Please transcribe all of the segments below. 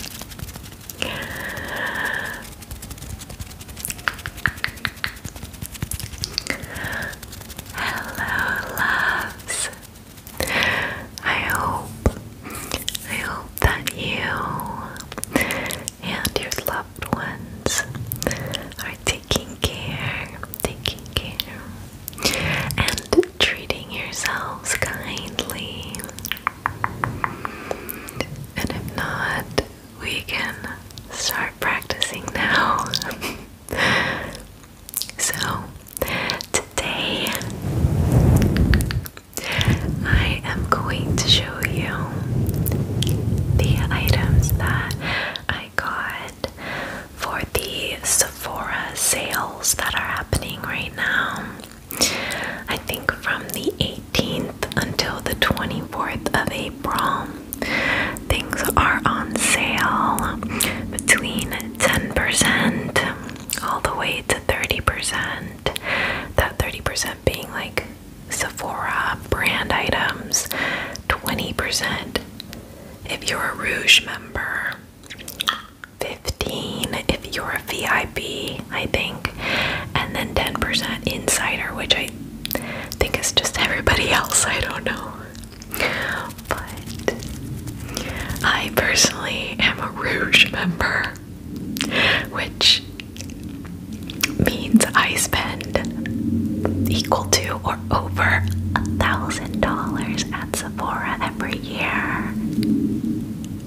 Hello, loves. I hope, I hope that you and your loved ones are taking care, taking care, and treating yourselves kindly. And if not, we can start practicing now. so, today I am going to show you the items that I got for the Sephora sales that are happening right now. I think from the 18th until the 24th of April, things are on sale between 10% all the way to 30%. That 30% being like Sephora brand items, 20%. If you're a Rouge member, 15 if you're a VIP, I think, and then 10% insider, which I think is just everybody else. I don't know. But I personally am a Rouge member, which means I spend equal to or over a thousand dollars at Sephora every year.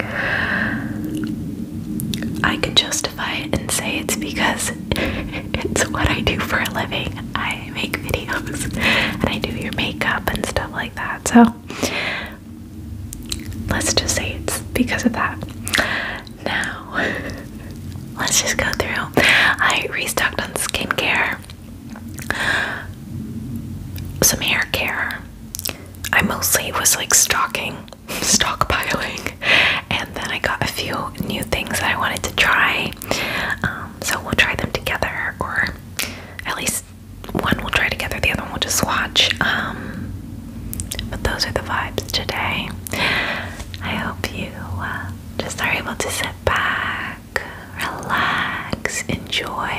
I can justify it and say it's because it's what I do for a living. I make videos and I do your makeup and stuff like that. So let's just say it's because of that. Now, let's just go through. I restocked on skincare, some hair care, I mostly was like stocking, stockpiling, and then I got a few new things that I wanted to try. Um, so we'll try them together, or at least one we'll try together, the other one we'll just watch. Um, but those are the vibes today. I hope you uh, just are able to sit back, relax, enjoy.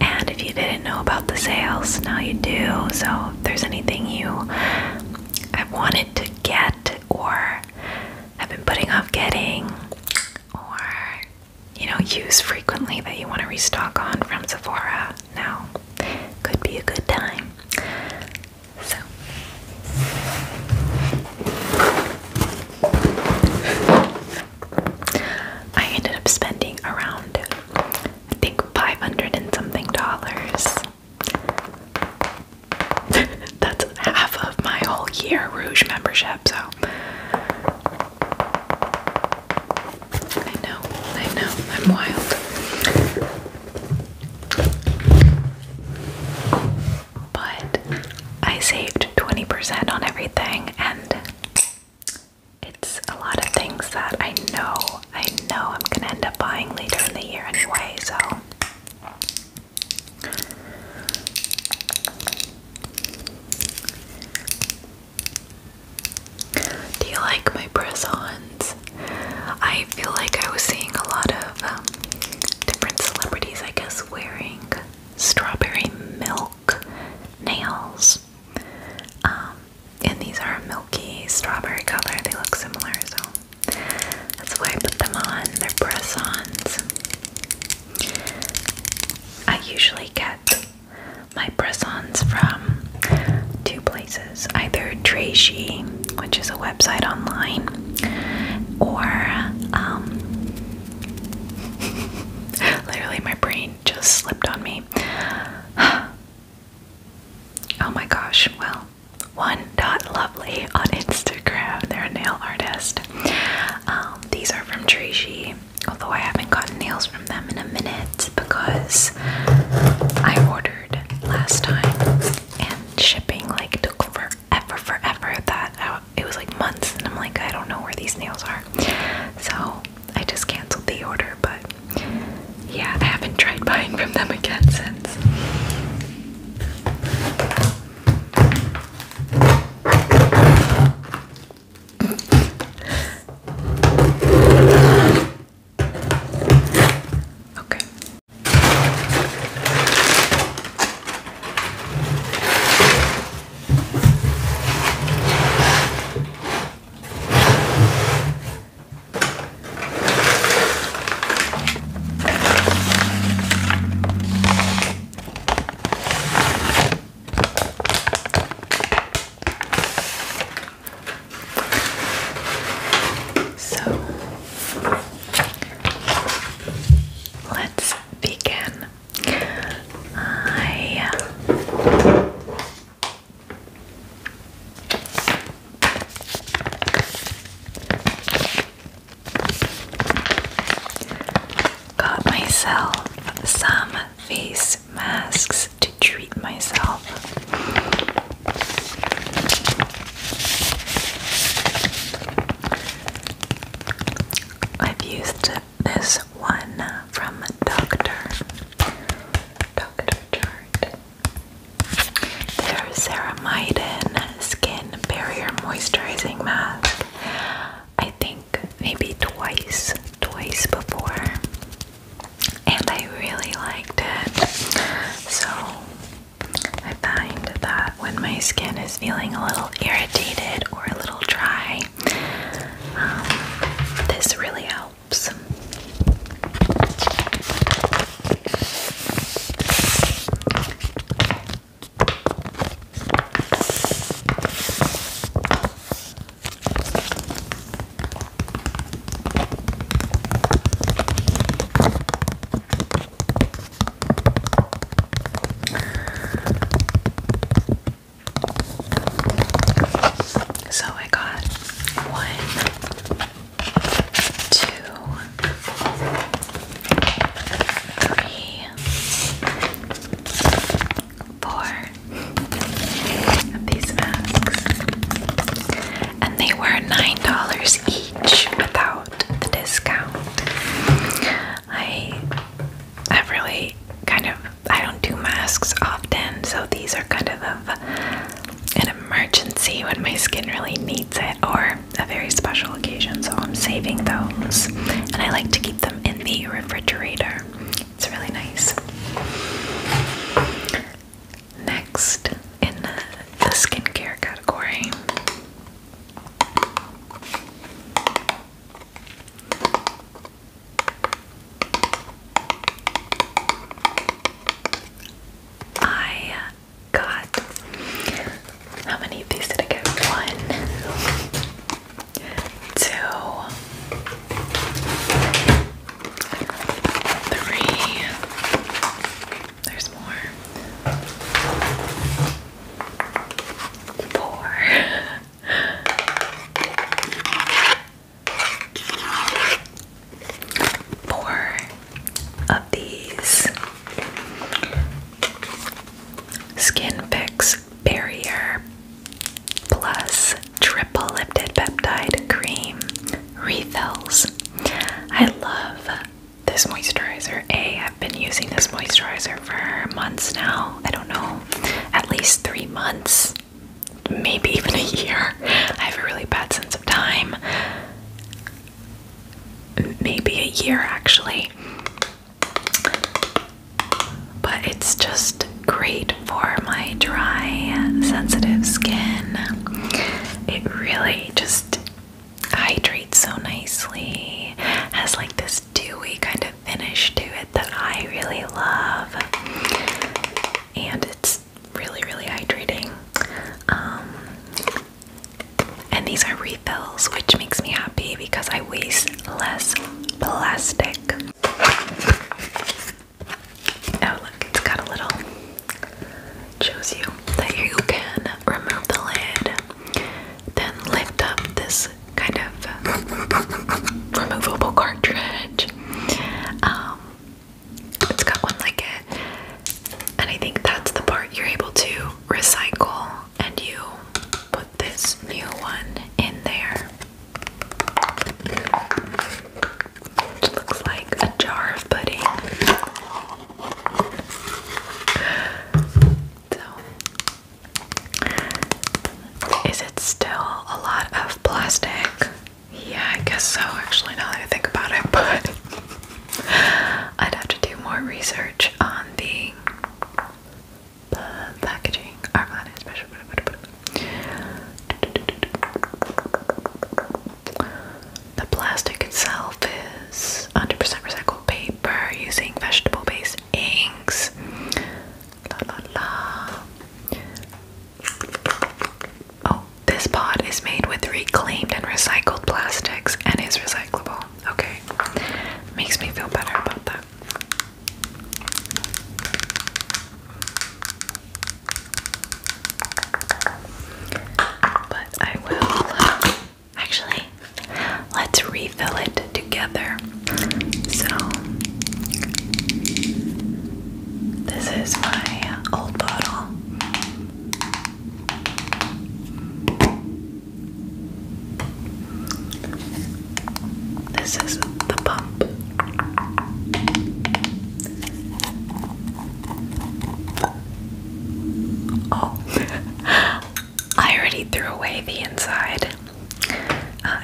And if you didn't know about the sales, now you do. So if there's anything you have wanted to get or have been putting off getting or you know use frequently that you want to restock on from Sephora, now could be a good time. So I ended up spending around, I think, 500 and something dollars. That's half of my whole year Rouge membership, so. I know, I know, I'm wild. But I saved 20% on everything and it's a lot of things that I know, I know I'm gonna end up buying later in the year anyway, so. Do you like my press-ons? I feel like I was seeing a lot of um, different celebrities, I guess, wearing strawberry milk nails. Um, and these are a milky strawberry color. They look similar, so that's why I put them on. They're press-ons. I usually get my press-ons from two places. Either Tracey, which is a website online, or um, literally my brain just slipped on me. oh my gosh, well, one dot lovely on Instagram. They're a nail artist. Um, these are from Trichy, although I haven't gotten nails from them in a minute because I ordered last time and shipping like took forever, forever. That uh, it was like months, and I'm like, I don't know where these nails are. So I just canceled the order, but yeah, I haven't tried buying from them again since. Okay. So let's begin. I got myself some face masks to treat myself. I've used this one from Doctor Doctor Chart. Their Ceramidin Skin Barrier Moisturizing Mask. I think maybe twice, twice before, and I really liked it. So I find that when my skin is feeling a little irritated or a little dry, um, this really helps. So I got one, two, three, four of these masks, and they were nine dollars each without the discount. I i really kind of I don't do masks often, so these are kind of an emergency when my skin really needs it or a very special occasion, so I'm saving those. And I like to keep them in the refrigerator. It's really nice. Next in the skincare category I got how many of these did I get? One, two, three. There's more. Four. Four of these Skin Fix Barrier Plus Triple Lifted Peptide Cream Refills. I love this moisturizer. A, I've been using this moisturizer for months now. I don't know, at least three months, maybe even a year. I have a really bad sense of time. Maybe a year actually. But it's just great for my dry, sensitive skin. It really just hydrates so nicely. Has like this dewy kind of finish to it that I really love. And it's really, really hydrating. Um, and these are refills, which makes me happy because I waste less plastic. Oh, look, it's got a little. Shows you that you can remove the lid, then lift up this kind of removable cartridge. Um, it's got one like it, and I think that's the part you're able to recycle, and you put this new one in there. Which looks like a jar of pudding. So is it still a lot of plastic? Yeah, I guess so. Actually, now that I think about it, but I'd have to do more research on the packaging. Armani special. The plastic itself is 100% recycled paper using vegetable-based inks. Oh, this pod is made with reclaimed and recycled plastics and is recyclable. Okay. Makes me feel better about that. But I will. Actually, let's re fill it together. So, this is my old bottle. This is the pump. Oh, I already threw away the inside. Uh,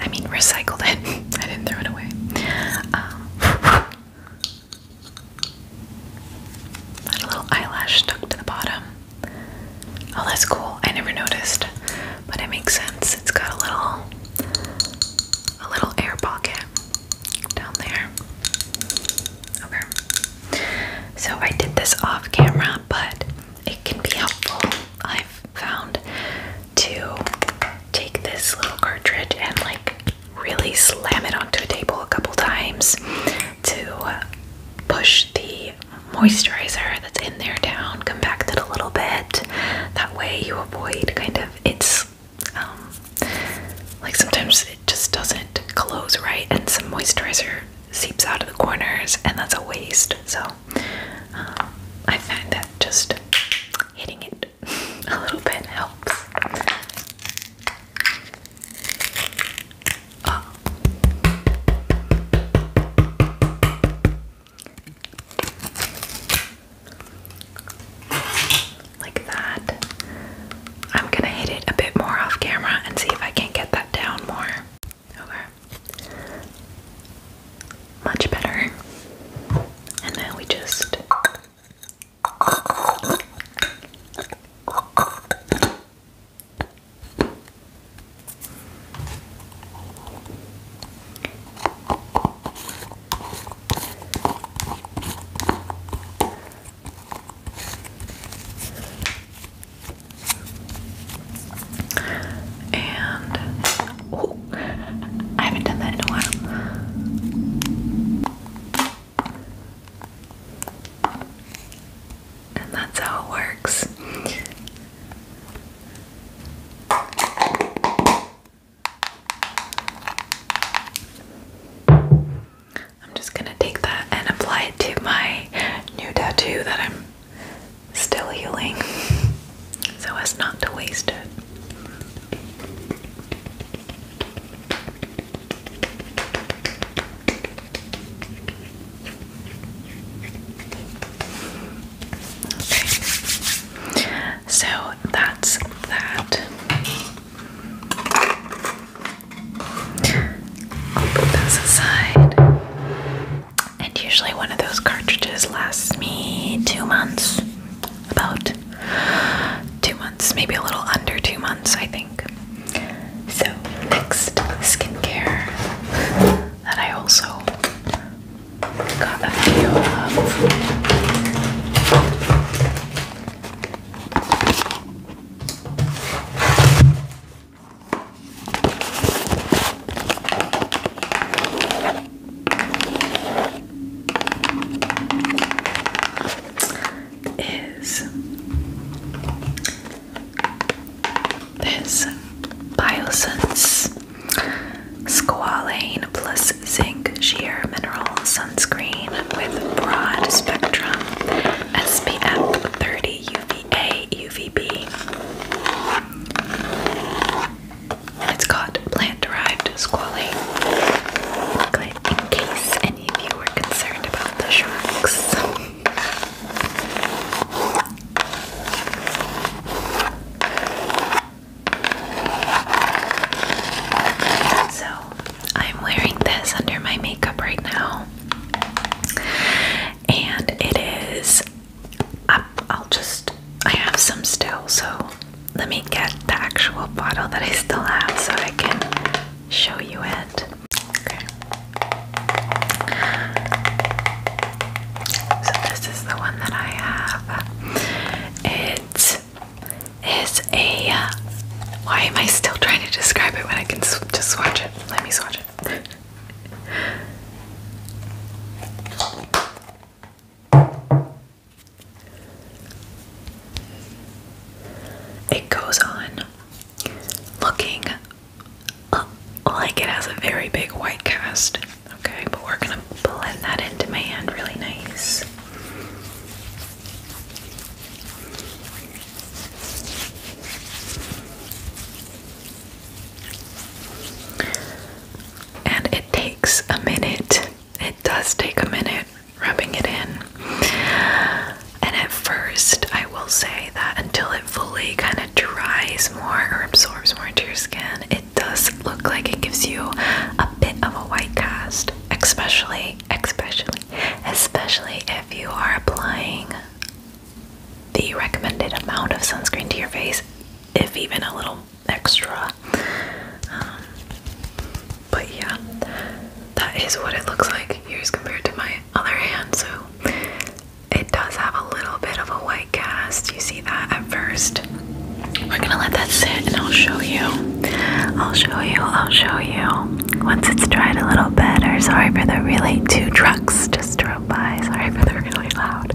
I mean, recycled it. I didn't throw it away. Um, a little eyelash stuck to the bottom. Oh, that's cool. I never noticed, but it makes sense. It's got a little, a little air pocket down there. Okay. So I did this off camera, but it can be helpful I've found to take this little cartridge and like really slam it onto a table a couple times to push the moisturizer that's in there down, compact it a little bit. That way you avoid kind of it's um, like sometimes it just doesn't close right and some moisturizer seeps out of the corners and that's a waste. So um, I find that just hitting it a little bit helps. Oh. Like that. I'm gonna hit it a bit more off camera and see if I can get that down more. Much better. And now we just and oh, I haven't done that in a while. And that's how it works. I'm just gonna take that and apply it to my new tattoo that I'm still healing so as not to waste it. So that's that. put this aside. And usually one of those cartridges lasts me two months. About two months, maybe a little under two months, I think. So, next skincare that I also got a video of is this Biosense Squalane plus Zinc Sheer Mineral Sunscreen with Broad Spectrum SPF 30 UVA UVB. It's got plant-derived squally. In case any of you were concerned about the sharks. So, I'm wearing this under my makeup right now, and it is I, will just, I have some still, so let me get the actual bottle that I still have so I can show you it. Okay. So, this is the one that I have. It is a. Uh, why am I still trying to describe it when I can just swatch it? Let me swatch it it goes on looking like it has a very big white cast. Okay, but we're gonna blend that into my hand really nice. And it takes a minute. It does take a minute rubbing it in. And at first, I will say that until it fully kind of dries more or absorbs more into your skin, it does look like it gives you a bit of a white cast, especially, especially, especially if you are applying the recommended amount of sunscreen to your face, if even a little extra. Um, but yeah, that is what it looks like. Here's compared to my other hand, so it does have a little bit of a white cast. You see that at first. We're gonna let that sit and I'll show you. I'll show you, I'll show you. Once it's dried a little better. Sorry for the really two trucks, just drove Sorry for the really loud,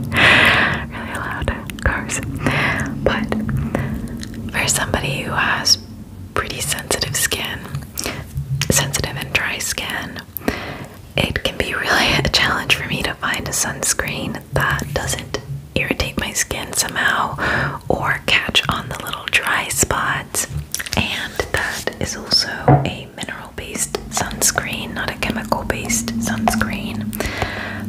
really loud cars. But for somebody who has pretty sensitive skin, sensitive and dry skin, it can be really a challenge for me to find a sunscreen that doesn't irritate my skin somehow or catch on the little dry spots. And that is also a mineral based sunscreen, not a chemical based sunscreen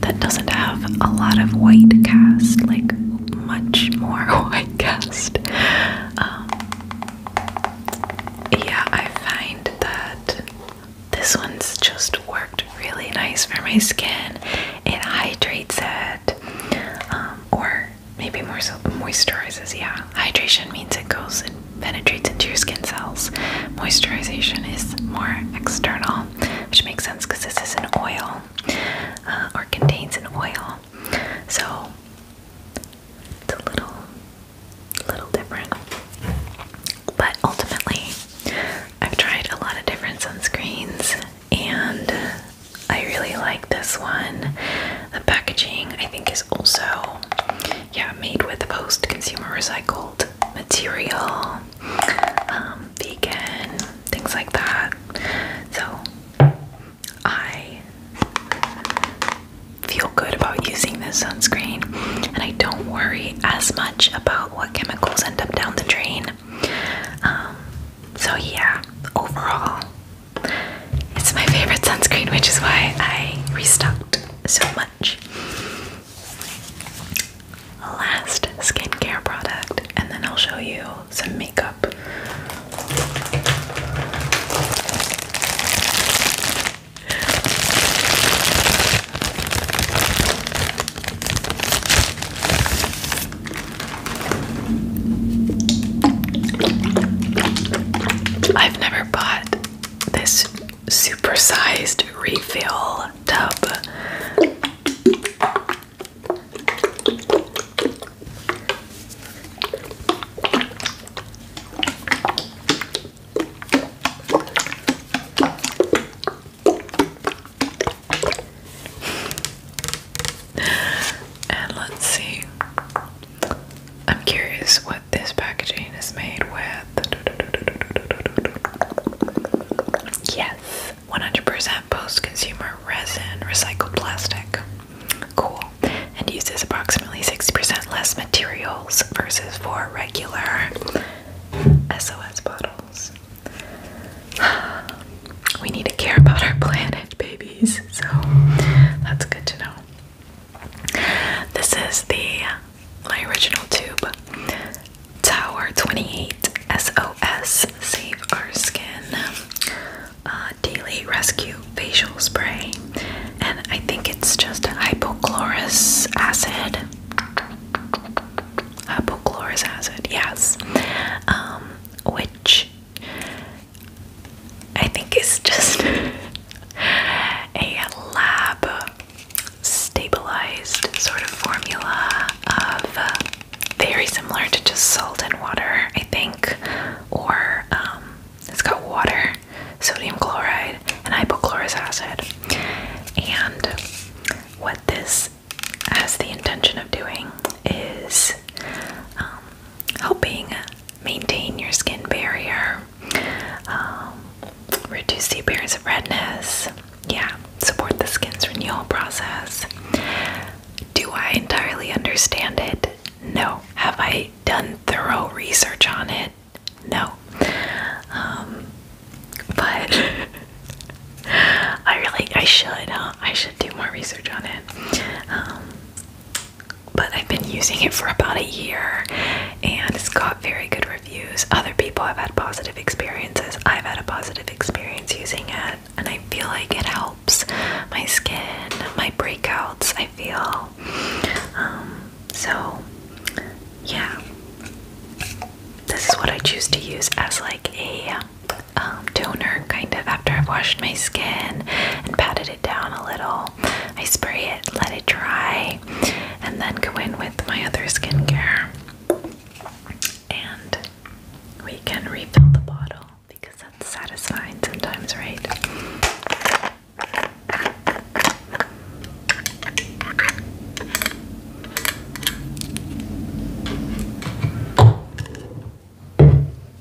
that doesn't have a lot of white cast, like much more white cast. Um, yeah, I find that this one's just worked really nice for my skin. It hydrates it, um, or maybe more so moisturizes. Yeah, Hydration means it goes and penetrates into your skin cells. Moisturization is more external, which makes sense because this is an oil uh, or contains an oil. So it's a little, little different. But ultimately, I've tried a lot of different sunscreens and I really like this one. The packaging, I think, is also yeah, made with post-consumer recycled material, um, vegan, things like that. So I feel good about using this sunscreen, and I don't worry as much about what chemicals end up down the drain. Um, so yeah, overall, it's my favorite sunscreen, which is why I restocked so much. Last skincare product, and then I'll show you some makeup. I've never bought this supersized refill tub. and let's see. I'm curious this packaging is made with. Yes, 100% post consumer resin, recycled plastic. Cool. And uses approximately 60% less materials versus for regular SOS bottles. We need to care about our planet, babies, so that's good to know. This is the my original tube Tower 28 SOS Save Our Skin uh, Daily Rescue Facial Spray, and I think it's just hypochlorous acid. Hypochlorous acid, yes, um, which I think it's just a lab stabilized sort of formula of uh, very similar to just salt and water, I think, or um, it's got water, sodium chloride, and hypochlorous acid. And what this has the intention of doing is um, helping maintain your skin barrier um, reduce the appearance of redness. Yeah, support the skin's renewal process. Do I entirely understand it? No. Have I done thorough research on it? No. Um, but I really, I should, I should do more research on it. Um, but I've been using it for about a year and it's got very good reviews. Other people have had positive experiences. I've had a positive experience using it and I feel like it helps my skin, my breakouts, I feel. Um, so, yeah. This is what I choose to use as like a um, toner kind of after I've washed my skin and patted it down a little. I spray it, let it dry, and then go in with my other skincare. And we can refill the bottle because that's satisfying sometimes, right?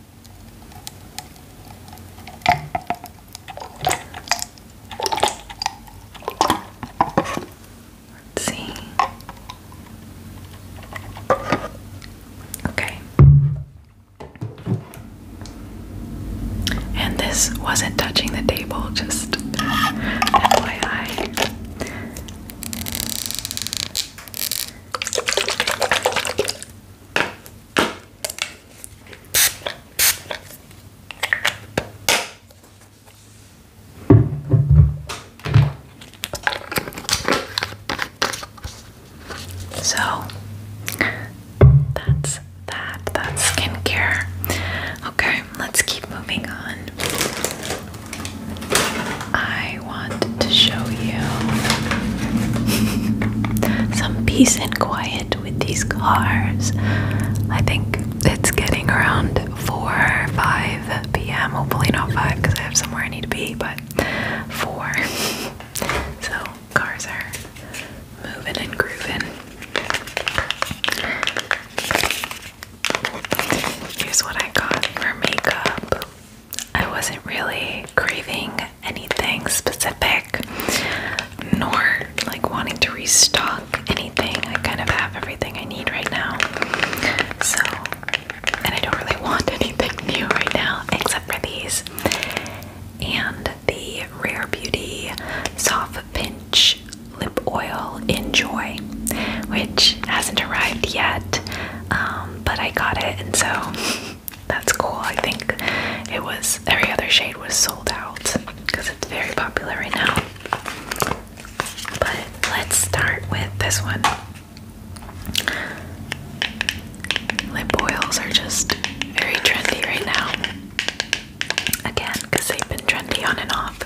Let's see. Okay. And this wasn't touching the table, just FYI. So that's that. That's skincare. Okay, let's keep moving on. I want to show you some peace and quiet with these cars. I think it's getting around 4 5 p.m. Hopefully, not 5 because I have somewhere I need to be, but 4. So, cars are moving and grooving. Here's what I got for makeup. I wasn't really craving anything specific nor like wanting to restock anything. I kind of have everything I need right now. So, and I don't really want anything new right now except for these and the Rare Beauty Soft Pinch Lip Oil Enjoy, which hasn't arrived yet, um, but I got it and so that's cool. I think it was every other shade was sold out because it's very popular right now. But let's start with this one. Lip boils are just very trendy right now. Again, because they've been trendy on and off.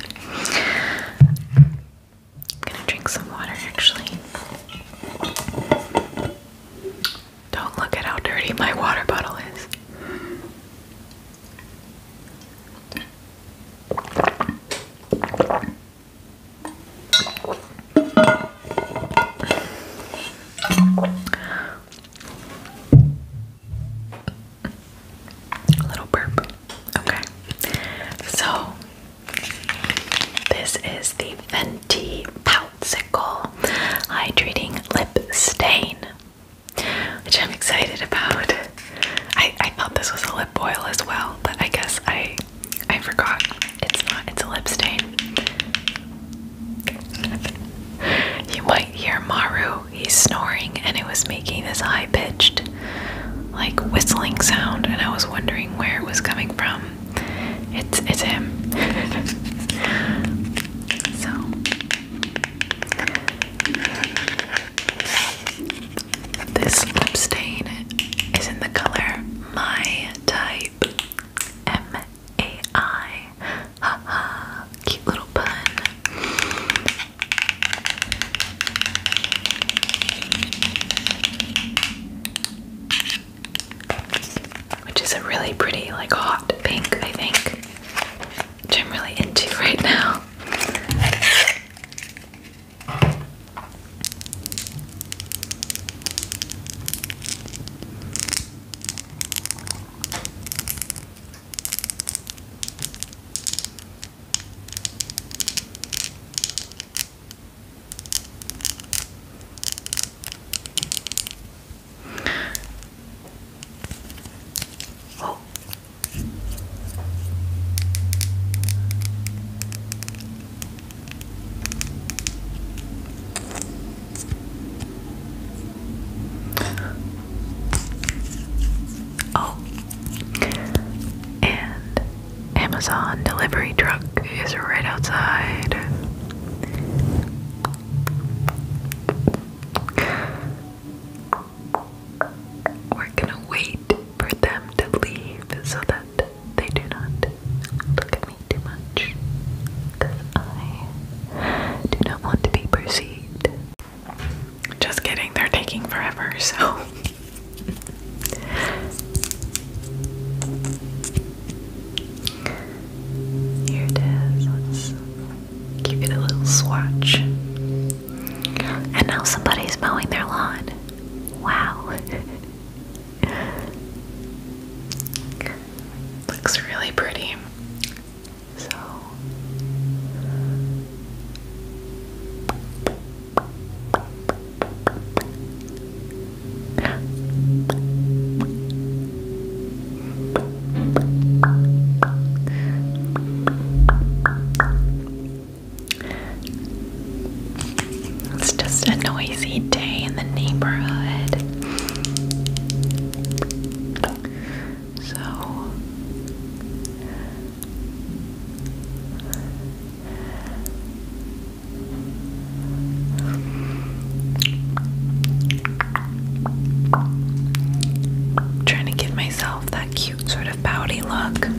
I'm gonna drink some water actually. Don't look at how dirty my water bottle is. little burp. Okay. So this is the Venti Poutzicle Hydrating Lip Stain, which I'm excited about. I, I thought this was a lip oil as well, but I guess I I forgot. It's not. It's a lip stain. you might hear Maru. He's snoring, and it was making this high-pitched, like whistling sound, and I was wondering where it was coming from. It's it's him. so this lip stain is in the color My Type M A I. Haha, cute little pun which is a really pretty, like hot pink, I think, which I'm really into right now. Oh. Oh, and Amazon delivery truck is right outside. We're gonna wait for them to leave so that they do not look at me too much. I do not want to be perceived. Just kidding, they're taking forever, so here it is. Let's give it a little swatch. And now somebody's mowing their lawn. Wow. Looks really pretty. So it's just a noisy day in the neighborhood. So trying to give myself that cute sort of pouty look.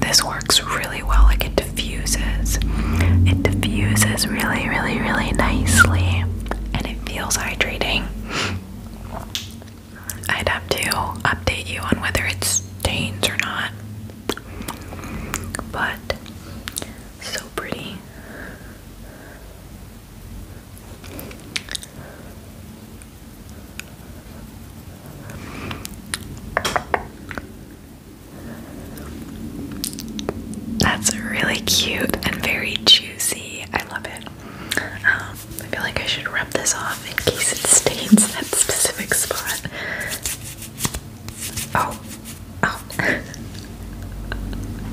This works really well, like it diffuses. It diffuses really, really, really nicely, and it feels hydrating. I'd have to update you on whether it stains or not. But so pretty. That's really cute and very juicy. I love it. Um, I feel like I should rub this off in case it stains that specific spot. Oh,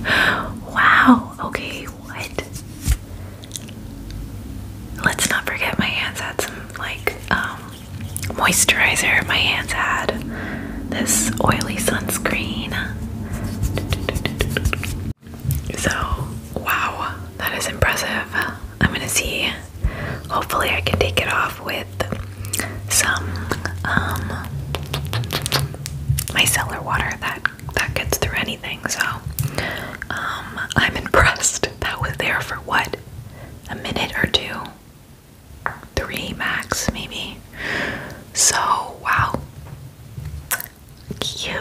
oh. wow. Okay, what? Let's not forget my hands had some like um, moisturizer. My hands had this oily sunscreen. So, wow, that is impressive. I'm gonna see. Hopefully, I can take it off with some um micellar water that that gets through anything. So, um, I'm impressed. That was there for what a minute or two? Three max, maybe. So, wow. Cute.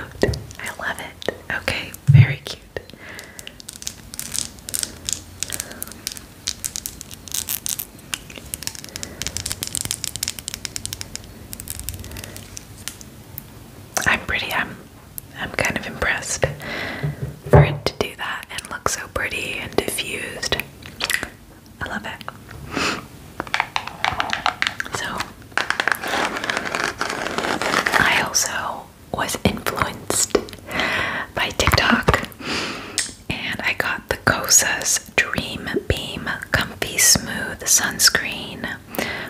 I love it. Okay, very cute. I'm pretty, I'm I'm kind of impressed for it to do that and look so pretty and diffused. I love it. So, I also was influenced by TikTok and I got the Kosas Dream Beam Comfy Smooth Sunscreen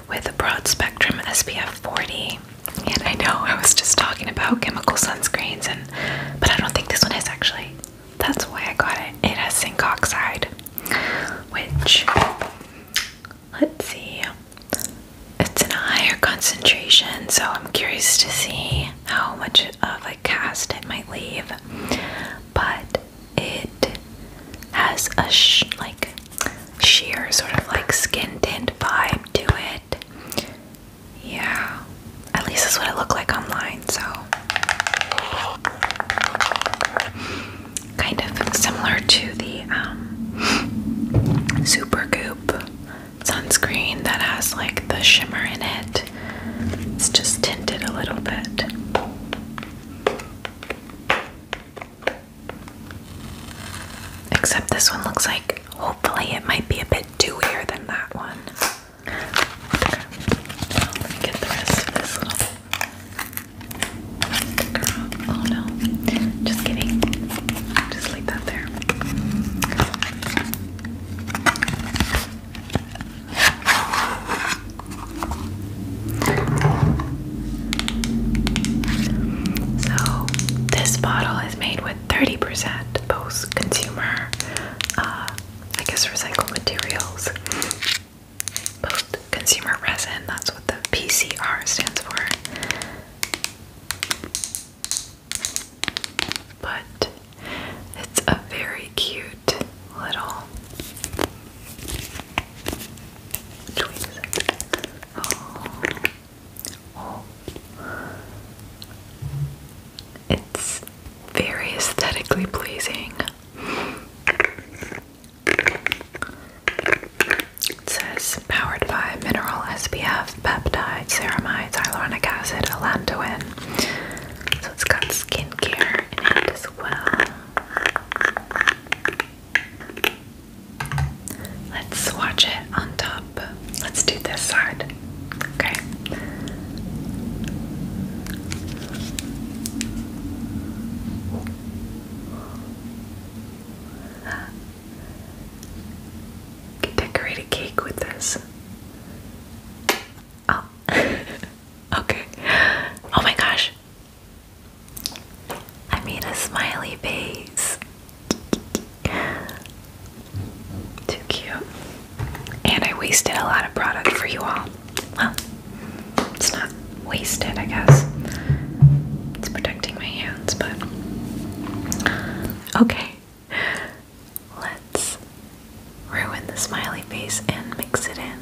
with a broad spectrum SPF 40. And I know I was just talking about chemical sunscreens and but I don't think this one is actually. That's why I got it. It has zinc oxide, which let's see. It's in a higher concentration, so I'm curious to see how much of a cast it might leave. But it has a sh like sheer sort of like skin tinted vibe to it. Yeah, at least that's what it looked like online, so. Kind of similar to the um, Super Goop sunscreen that has like the shimmer in it. It's just tinted a little bit. Except this one looks like, hopefully, it might be a bit dewier than that one. Oh no, just kidding. Just leave that there. So, this bottle is made with 30% post consumer, uh, I guess, recycled materials. Post consumer resin, that's what the PCR stands for. But it's a very cute little. Oh, it's very aesthetically pleasing. It says powered by mineral SPF, peptides, ceramides, hyaluronic acid, allantoin. So it's got skincare in it as well. Let's swatch it on top. Let's do this side. Okay. can decorate a cake with this. Oh. okay. Oh my gosh. I made a smiley face. Too cute. And I wasted a lot of product for you all. Well, it's not wasted, I guess. It's protecting my hands, but. Okay. Let's ruin the smiley face and mix it in.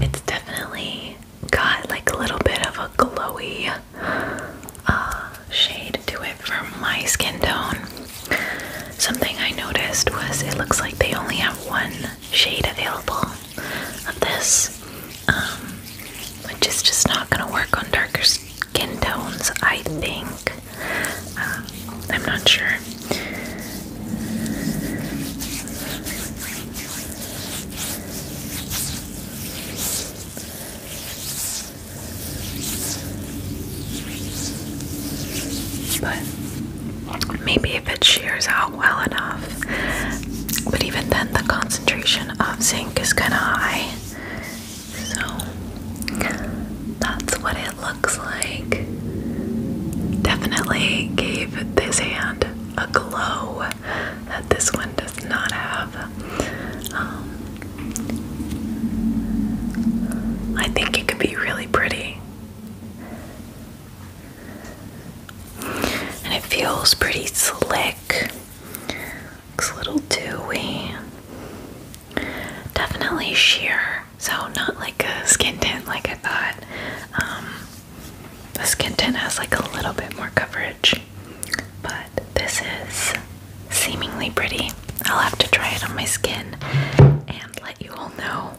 It's definitely got like a little bit of a glowy uh, shade to it for my skin tone. Something I noticed was it looks like they only have one shade available of this, um, which is just not gonna work on darker skin tones, I think. Um, I'm not sure. But maybe if it shears out well enough. But even then, the concentration of zinc is kind of high. So that's what it looks like. Definitely gave this hand a glow that this one does not have. Um, I think it could be really pretty. And it feels pretty slick. Looks a little dewy. Definitely sheer, so not like a skin tint like I thought. Um, the skin tint has like a little bit more coverage, but this is seemingly pretty. I'll have to try it on my skin and let you all know.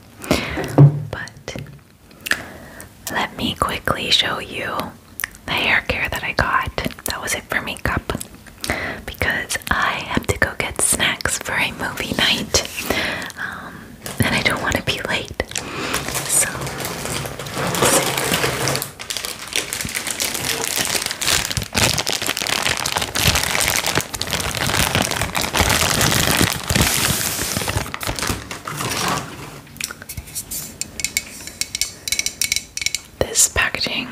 But let me quickly show you the hair care that I got. That was it for makeup because I have to go get snacks for a movie night. Um, and I don't want to be late. So. This packaging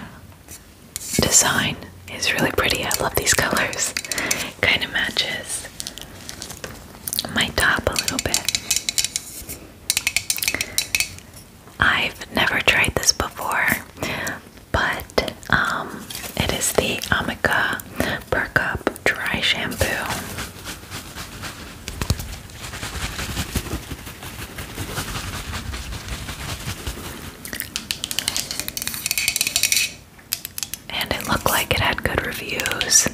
design is really pretty. I love these colors. Kind of matches my top a little bit. I've never tried this before, but um, it is the Amica Perk Dry Shampoo and it looked like it had good reviews.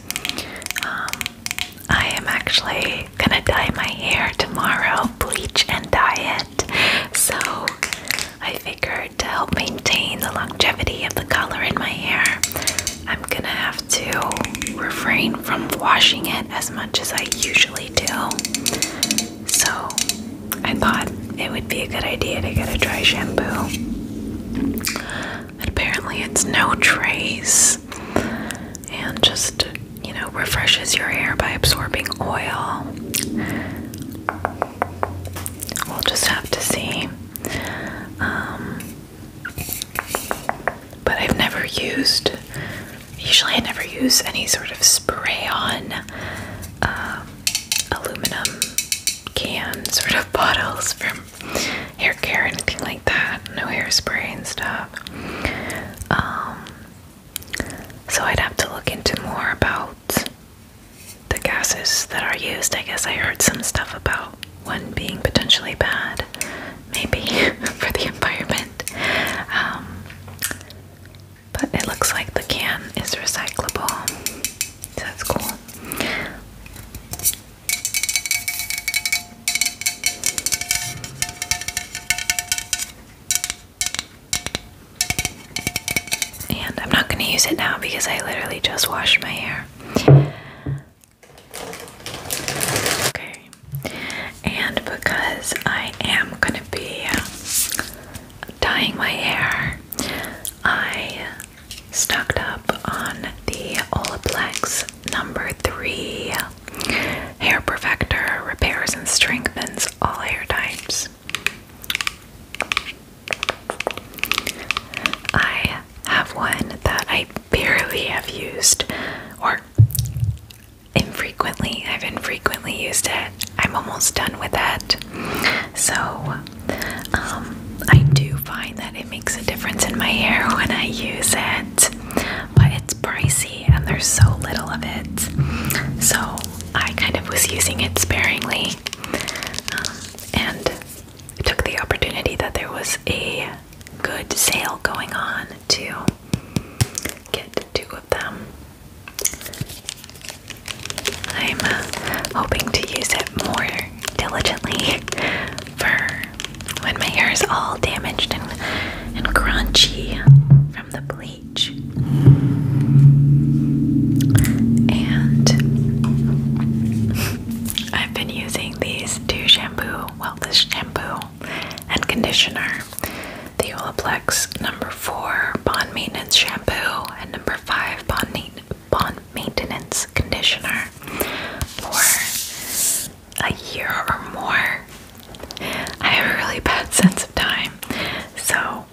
Um, I am actually gonna dye my hair tomorrow, bleach and dye it. So I figured to help maintain the longevity of the color in my hair, I'm gonna have to refrain from washing it as much as I usually do. So I thought it would be a good idea to get a dry shampoo. But apparently, it's no trace and just, you know, refreshes your hair by absorbing oil. We'll just have to see. Um, but I've never used Usually, I never use any sort of spray on um, aluminum can sort of bottles for hair care, or anything like that. No hairspray and stuff. Um, so, I'd have to look into more about the gases that are used. I guess I heard some stuff about one being potentially bad, maybe for the environment. Um, but it looks like the can is recyclable. So that's cool. And I'm not going to use it now because I literally just washed my hair. Okay. And because I am going to be um, dyeing my hair, I stocked up on the Olaplex number three hair perfector repairs and strengthens all hair types. I have one that I barely have used, or infrequently. I've infrequently used it. I'm almost done with it. So um, I do find that it makes a difference in my hair when I use it. But it's pricey and there's so little of it. So I kind of was using it sparingly. Um, and took the opportunity that there was a good sale going on to get two of them. I'm uh, hoping to use it more diligently for when my hair is all damaged and, and crunchy from the bleach. And I've been using these two shampoo, well, this shampoo and conditioner. The Olaplex number four bond maintenance shampoo and number five bond, bond maintenance conditioner for a year or more. I have a really bad sense of time, so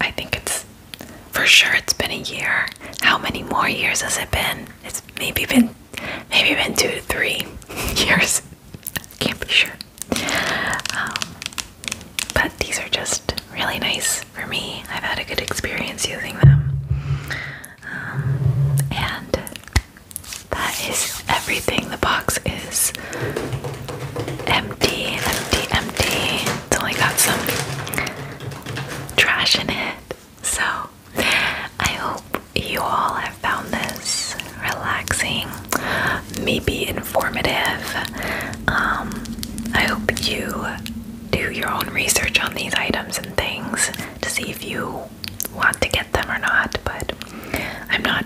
I think it's for sure it's been a year. How many more years has it been? It's maybe been maybe been two to three years. Can't be sure. Um, but these are just really nice for me. I've had a good experience using them. Um, and that is everything. The box is empty, empty, empty. until I got some trash in it. So I hope you all have found this relaxing, maybe informative. Um, I hope you do your own research on these items and things to see if you want to get them or not, but I'm not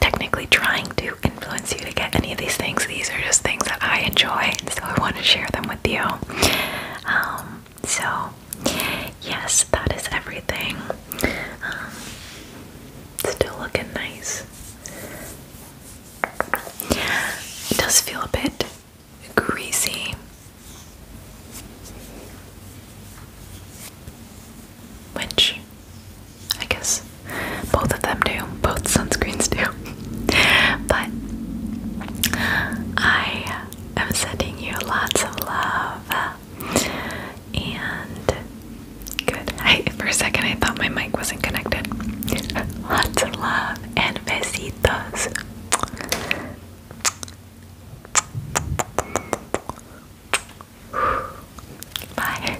technically trying to influence you to get any of these things. These are just things that I enjoy, so I want to share them with you. Um, so, yes, that is everything. Um, Still looking nice. It does feel a bit greasy. Which I guess both of them do, both sunscreens do. but I am sending you lots of love. And good. for a second, I thought my mic wasn't connected. Lots of love and besitos. Bye.